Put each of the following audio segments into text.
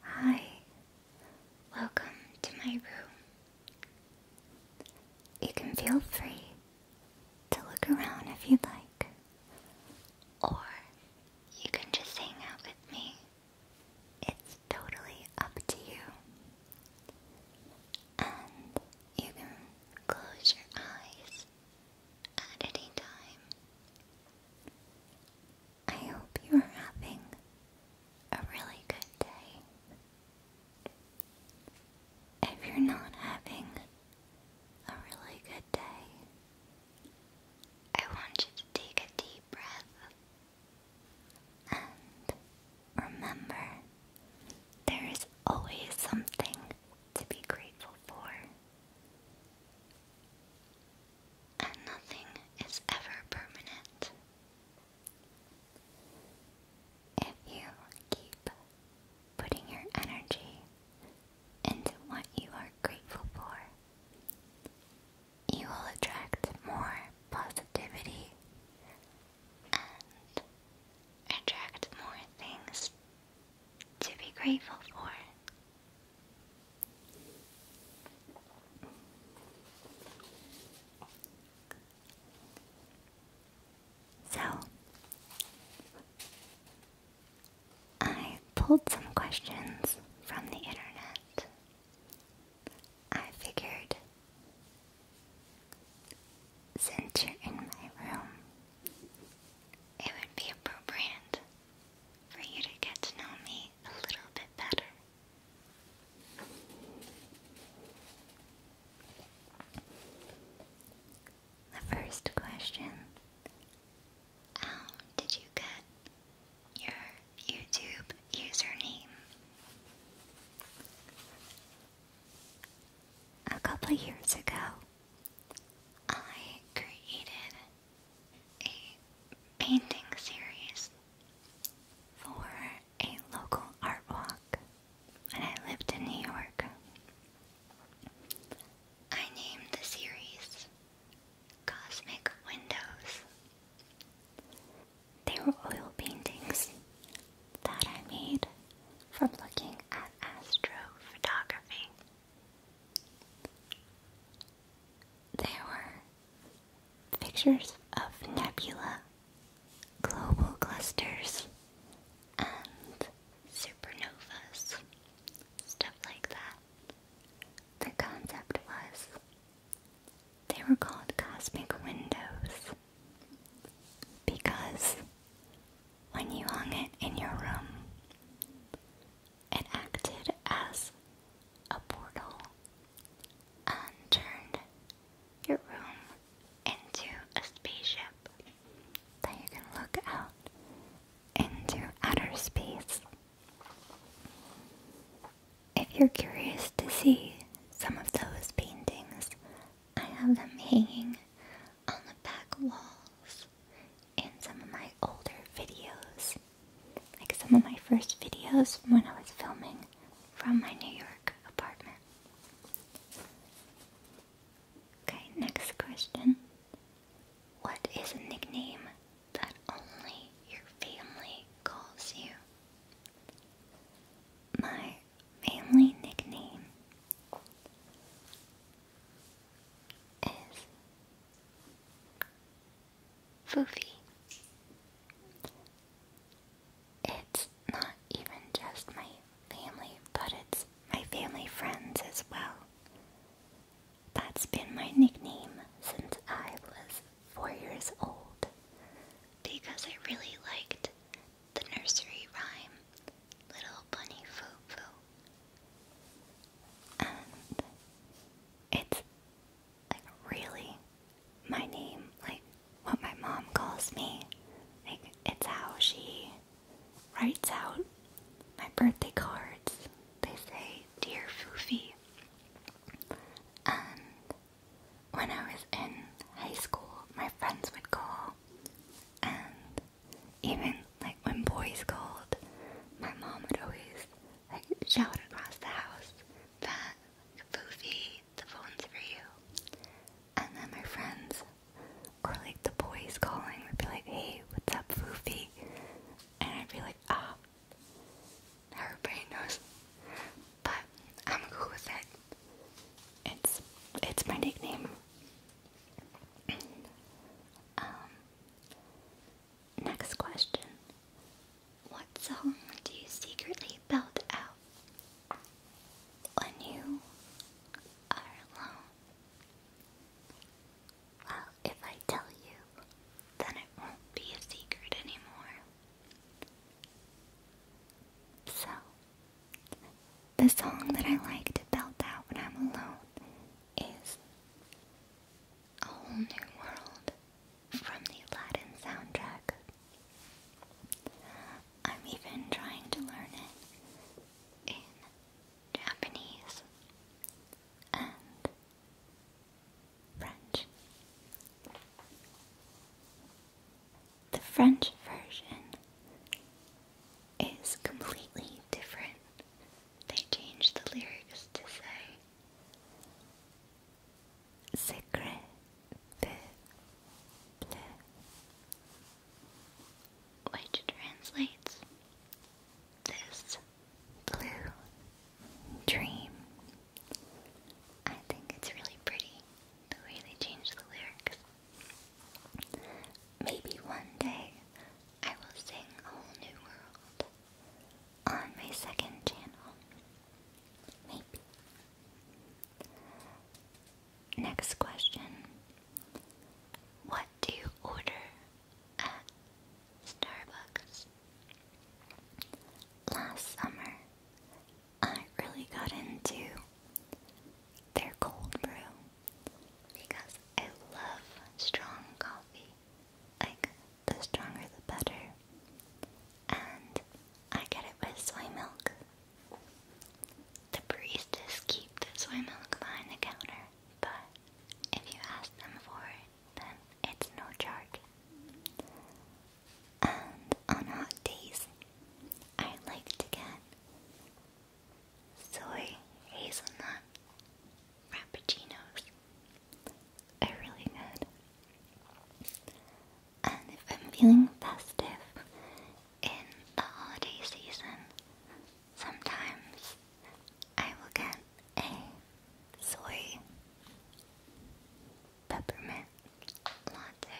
Hi, welcome to my room. You can feel free to look around if you'd like, or you can just hang out with me. It's totally up to you. And you can close your eyes at any time. I hope you're having a really good day. If you're not having a really good day, I want you to take a deep breath and remember there is always something to be grateful for and nothing is ever permanent. If you keep putting your energy into what you are grateful for, you will attract more positivity and attract more things to be grateful for. So, I pulled some questions from the internet. I figured since you're in my room, it would be appropriate for you to get to know me a little bit better. The first question um, did you get your YouTube username? A couple years ago, I created a painting series for a local art walk when I lived in New York. I named the series Cosmic Windows. They were oil paintings that I made from looking at astrophotography. There were pictures of nebula, global clusters, and supernovas, stuff like that. The concept was they were called cosmic windows because when you hung it in your room, it acted as a portal and turned your room into a spaceship that you can look out into outer space. If you're curious to see some of those paintings, I have them hanging on the back walls in some of my older videos. Like some of my first videos when I was filming from my New York apartment. Okay, next question. What is a nickname that only your family calls you? My family nickname is Foofy. It's not even just my family, but it's my family friends as well. That's been my nickname since I was four years old because I really liked the nursery rhyme Little Bunny Foo it's like really my name, like what my mom calls me. Like it's how she writes out my birthday cards. They say, Dear Foofy. And when I was in high school, my friends would call and even like when boys called, my mom would always like shout across the house that Foofy, the phone's for you. And then my friends or like the boys calling would be like, Hey, what's up, Foofy? And I'd be like, ah, oh, everybody knows. But I'm cool with it. It's it's my nickname. Um Next question. What song do you secretly belt out when you are alone? Well, if I tell you, then it won't be a secret anymore. So, the song that I like to belt out when I'm alone is A Whole New World from the Aladdin soundtrack. I'm even trying to learn it in Japanese and French. The French version is completely different they changed the lyrics to say secret which translates this blue dream. I think it's really pretty the way they changed the lyrics. Maybe one day I will sing a whole new world on my second channel. Maybe. Next question. What do you order at Starbucks? Last summer, I really got into their cold brew because I love strong coffee. Like, the stronger the better. And I get it with soy milk. The baristas keep the soy milk behind the counter, but if you ask them for it, then it's no charge. And on hot days, I like to get soy hazelnut frappuccinos. Are really good. And if I'm feeling festive in the holiday season, sometimes I will get a soy peppermint latte.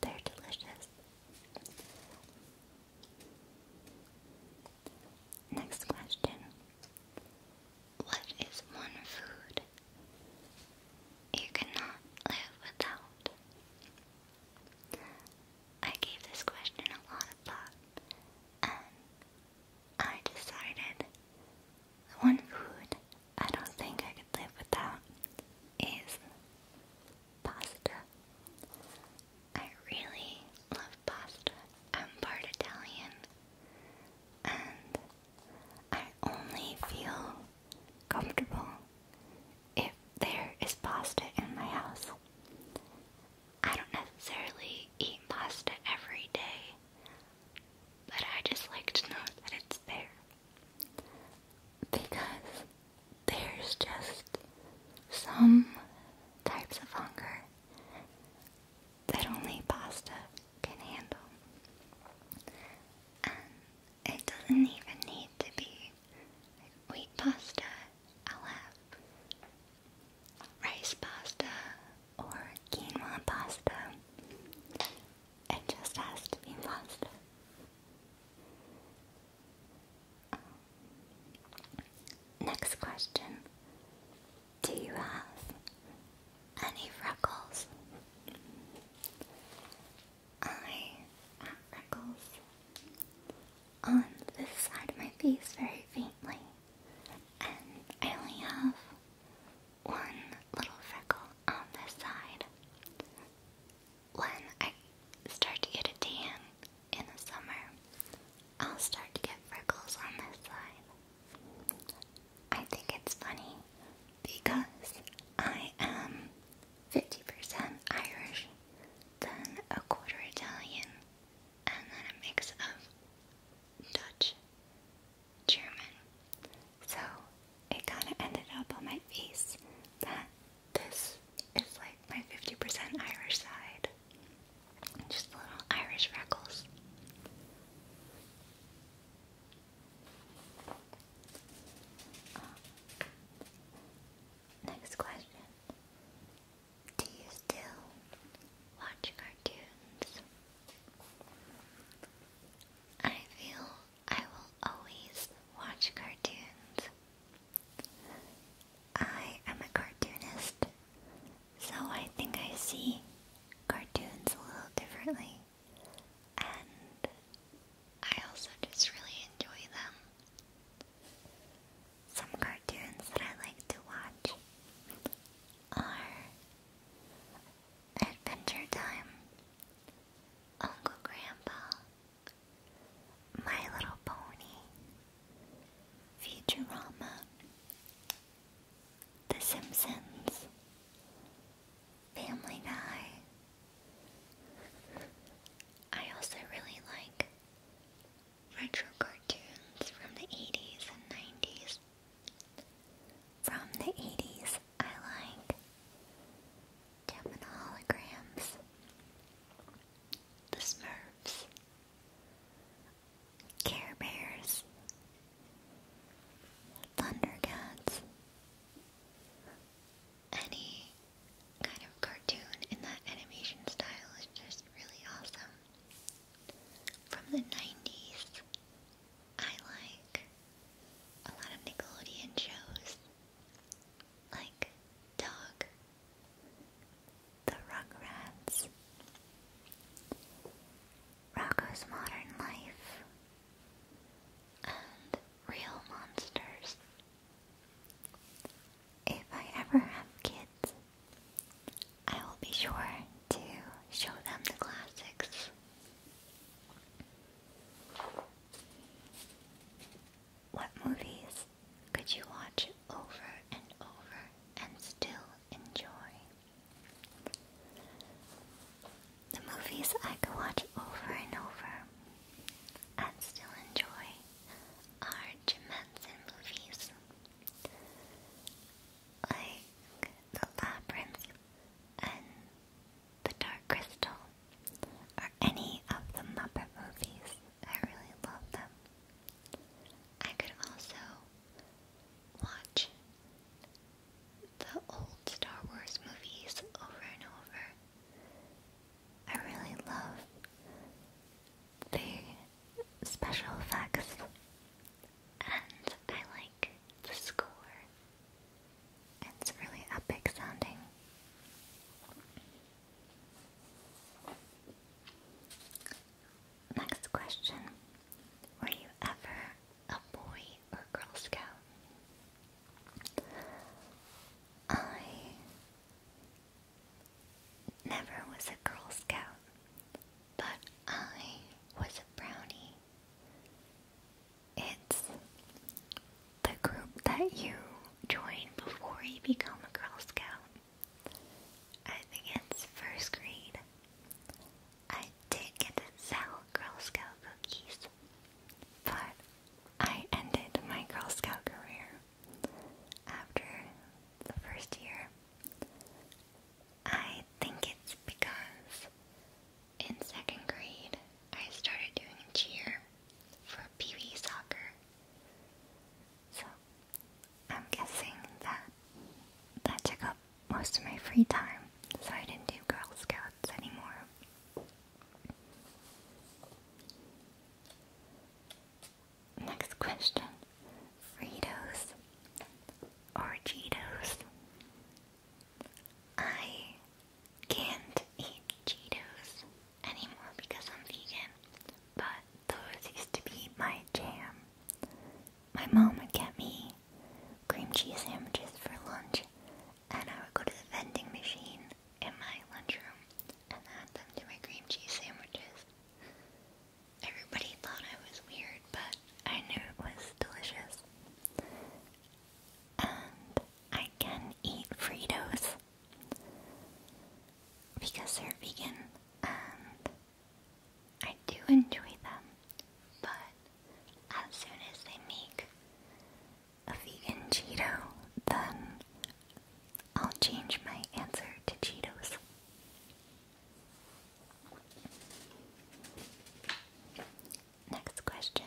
They're delicious. Next question. What is one food you cannot live without? I gave this question a lot of thought and I decided the one food I don't think I could live without is pasta. I really love pasta. I'm part Italian. And I only feel comfortable if there is pasta in my house. I don't necessarily eat pasta every day, but I just like to know that it's there. Because there's just some types of hunger that only pasta can handle. And it doesn't even need to be wheat pasta, I'll have rice pasta or quinoa pasta. It just has to be pasta. Next question. Do you have any freckles? I have freckles on this side of my face very faintly, and I only have one little freckle on this side when I start to get a tan in the summer, I'll start to get freckles on this side. I think it's funny because I am 50% Irish, then a quarter Italian, and then a mix of Dutch, German. So it kind of ended up on my face that this is like my 50% Irish side. Just little Irish freckles. Oh. next question. Do you still watch cartoons? I feel I will always watch cartoons. I am a cartoonist, so I think I see cartoons a little differently, and I also just really enjoy them. Some cartoons that I like to watch are Adventure Time, Uncle Grandpa, my Little Pony, Futurama, The Simpsons, Family Guy. I also really like retro cartoons from the 80s and 90s. From the 80s, I like Gemini holograms. The Smurfs. Care Bears. Thundercats. Any kind of cartoon in that animation style is just really awesome. From the 90s, I like a lot of Nickelodeon shows like Dog, The Rugrats, Rocco's Modern Life, and Real Monsters. If I ever have kids, I will be sure to show them the classics. What movies could you watch over and over and still enjoy? The movies I could watch over and over and still enjoy are Jim Henson movies. Like The Labyrinth and the Dark Crystal, or any of the Muppet movies. I really love them. I could also watch the old Star Wars movies over and over. I really love the special effects and I like the score it's really epic sounding. Next question. Were you ever a boy or girl scout? I never was a girl scout, but I was a brownie. It's the group that you join before you become a Girl Scout. I think it's first grade. I did get to sell Girl Scout cookies, but I ended my Girl Scout career after the first year. I think it's because in second grade, I started doing cheer for Pee soccer. So I'm guessing that that took up most of my free time, so I didn't do Girl Scouts anymore. Next question Fritos or Cheetos? I can't eat Cheetos anymore because I'm vegan, but those used to be my jam. My mom would get me cream cheese sandwiches for lunch, and I would go to the vending machine in my lunchroom and add them to my cream cheese sandwiches. Everybody thought I was weird, but I knew it was delicious. And I can eat Fritos because they're vegan and I do enjoy them, but as soon as they make a vegan Cheeto, then I'll change my answer to Cheetos. Next question.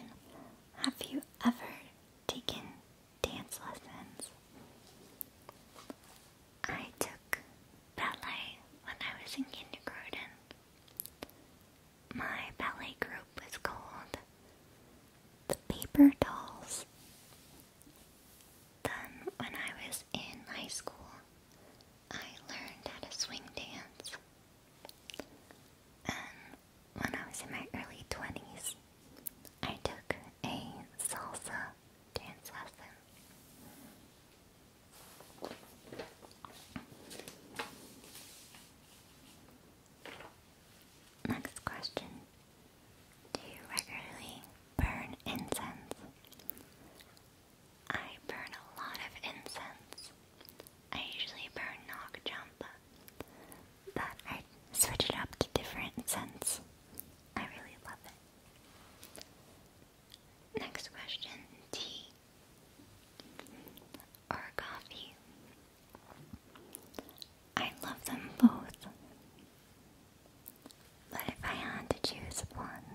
Have you ever taken dance lessons? I took ballet when I was in kindergarten. My ballet group was called the Paper Dolls. Then, when I was in high school, I learned how to swing dance when I was in my early 20s, I took a salsa dance lesson. Next question. Do you regularly burn incense? I burn a lot of incense. I usually burn knock jump, but I switch it up to different scents. I really love it. Next question tea or coffee? I love them both. But if I had to choose one,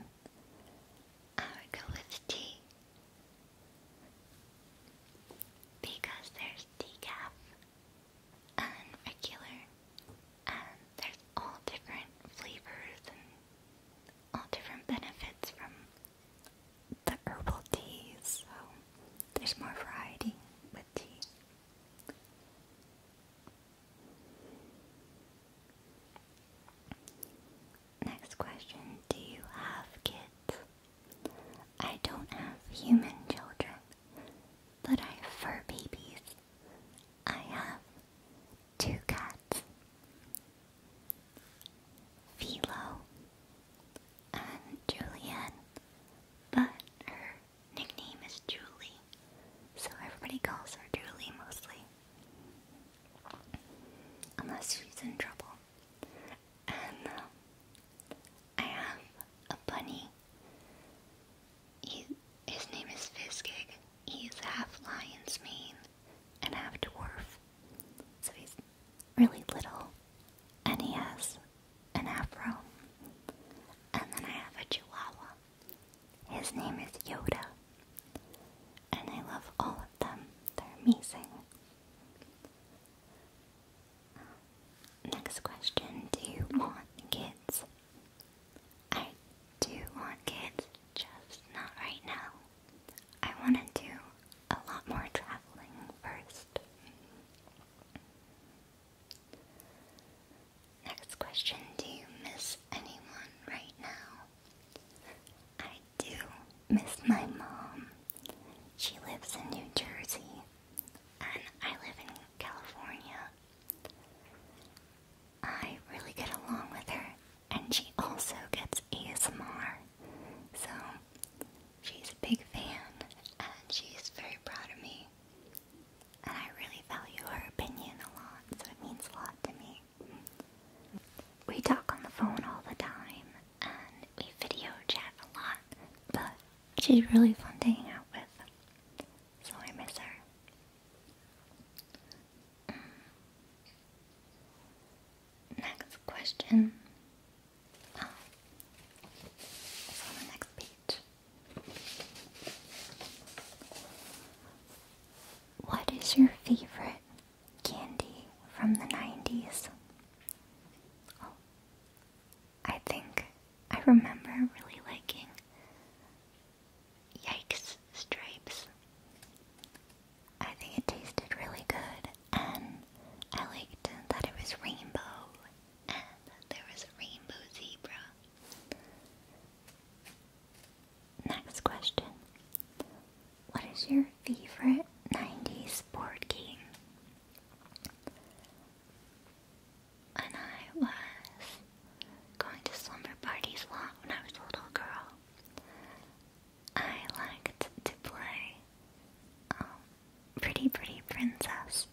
I would go with tea. Because there's decaf and regular, and there's all different flavors and all different benefits from the herbal teas, so there's more variety with tea. Next question Do you have kids? I don't have human children, but I have fur babies. I have two cats Philo and Julianne, but her nickname is Julie, so everybody calls her Julie mostly. Unless she's in trouble and uh, I have a bunny. his name is Fiskig. He's half lion's mane and half dwarf, so he's really little, and he has an afro. And then I have a chihuahua. His name is Yoda, and I love all of them. They're amazing. Next question Do you want kids? I do want kids, just not right now. I want to do a lot more traveling first. Next question Do you miss anyone right now? I do miss my mom. She lives in New Jersey, and I live in California. I really get along with her, and she also gets ASMR. So, she's a big fan, and she's very proud of me. And I really value her opinion a lot, so it means a lot to me. We talk on the phone all the time and we video chat a lot, but she's really fun to hang out with, so I miss her. Mm. Next question. Oh, the next page. What is your favorite candy from the 90s. I think I remember really liking Yikes Stripes. I think it tasted really good, and I liked that it was rainbow, and there was a rainbow zebra. Next question. What is your favorite 90s board game? When I was going to slumber parties a lot when I was a little girl, I liked to play um, Pretty Pretty Princess.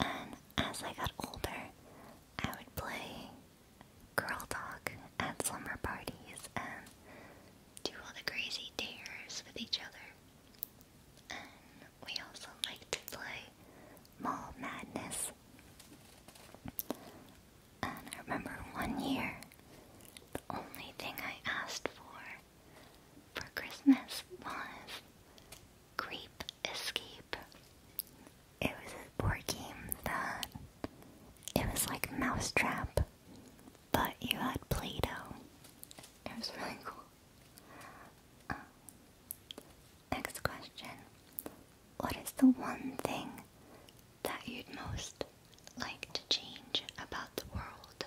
And as I got older, I would play girl talk at summer parties and do all the crazy dares with each other. we also like to play Mall Madness. And I remember one year, the only thing I asked for for Christmas was Creep Escape. It was a board game that it was like Mousetrap, but you had Play Doh. It was really cool. Um, next question What is the one thing that you'd most like to change about the world?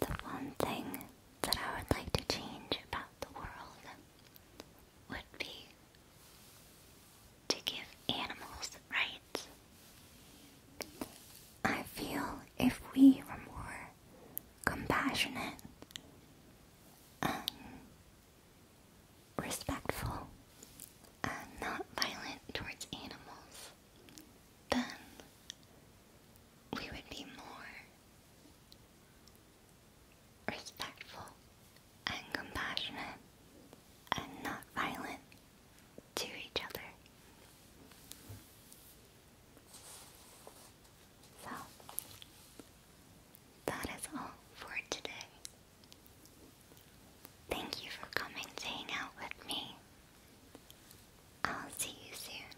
The one thing that I would like to change about the world would be to give animals rights. I feel if we were more compassionate and respectful and not violent towards animals, then we would be more respectful, and compassionate, and not violent to each other. So, that is all for today. Thank you for coming to hang out with me. I'll see you soon.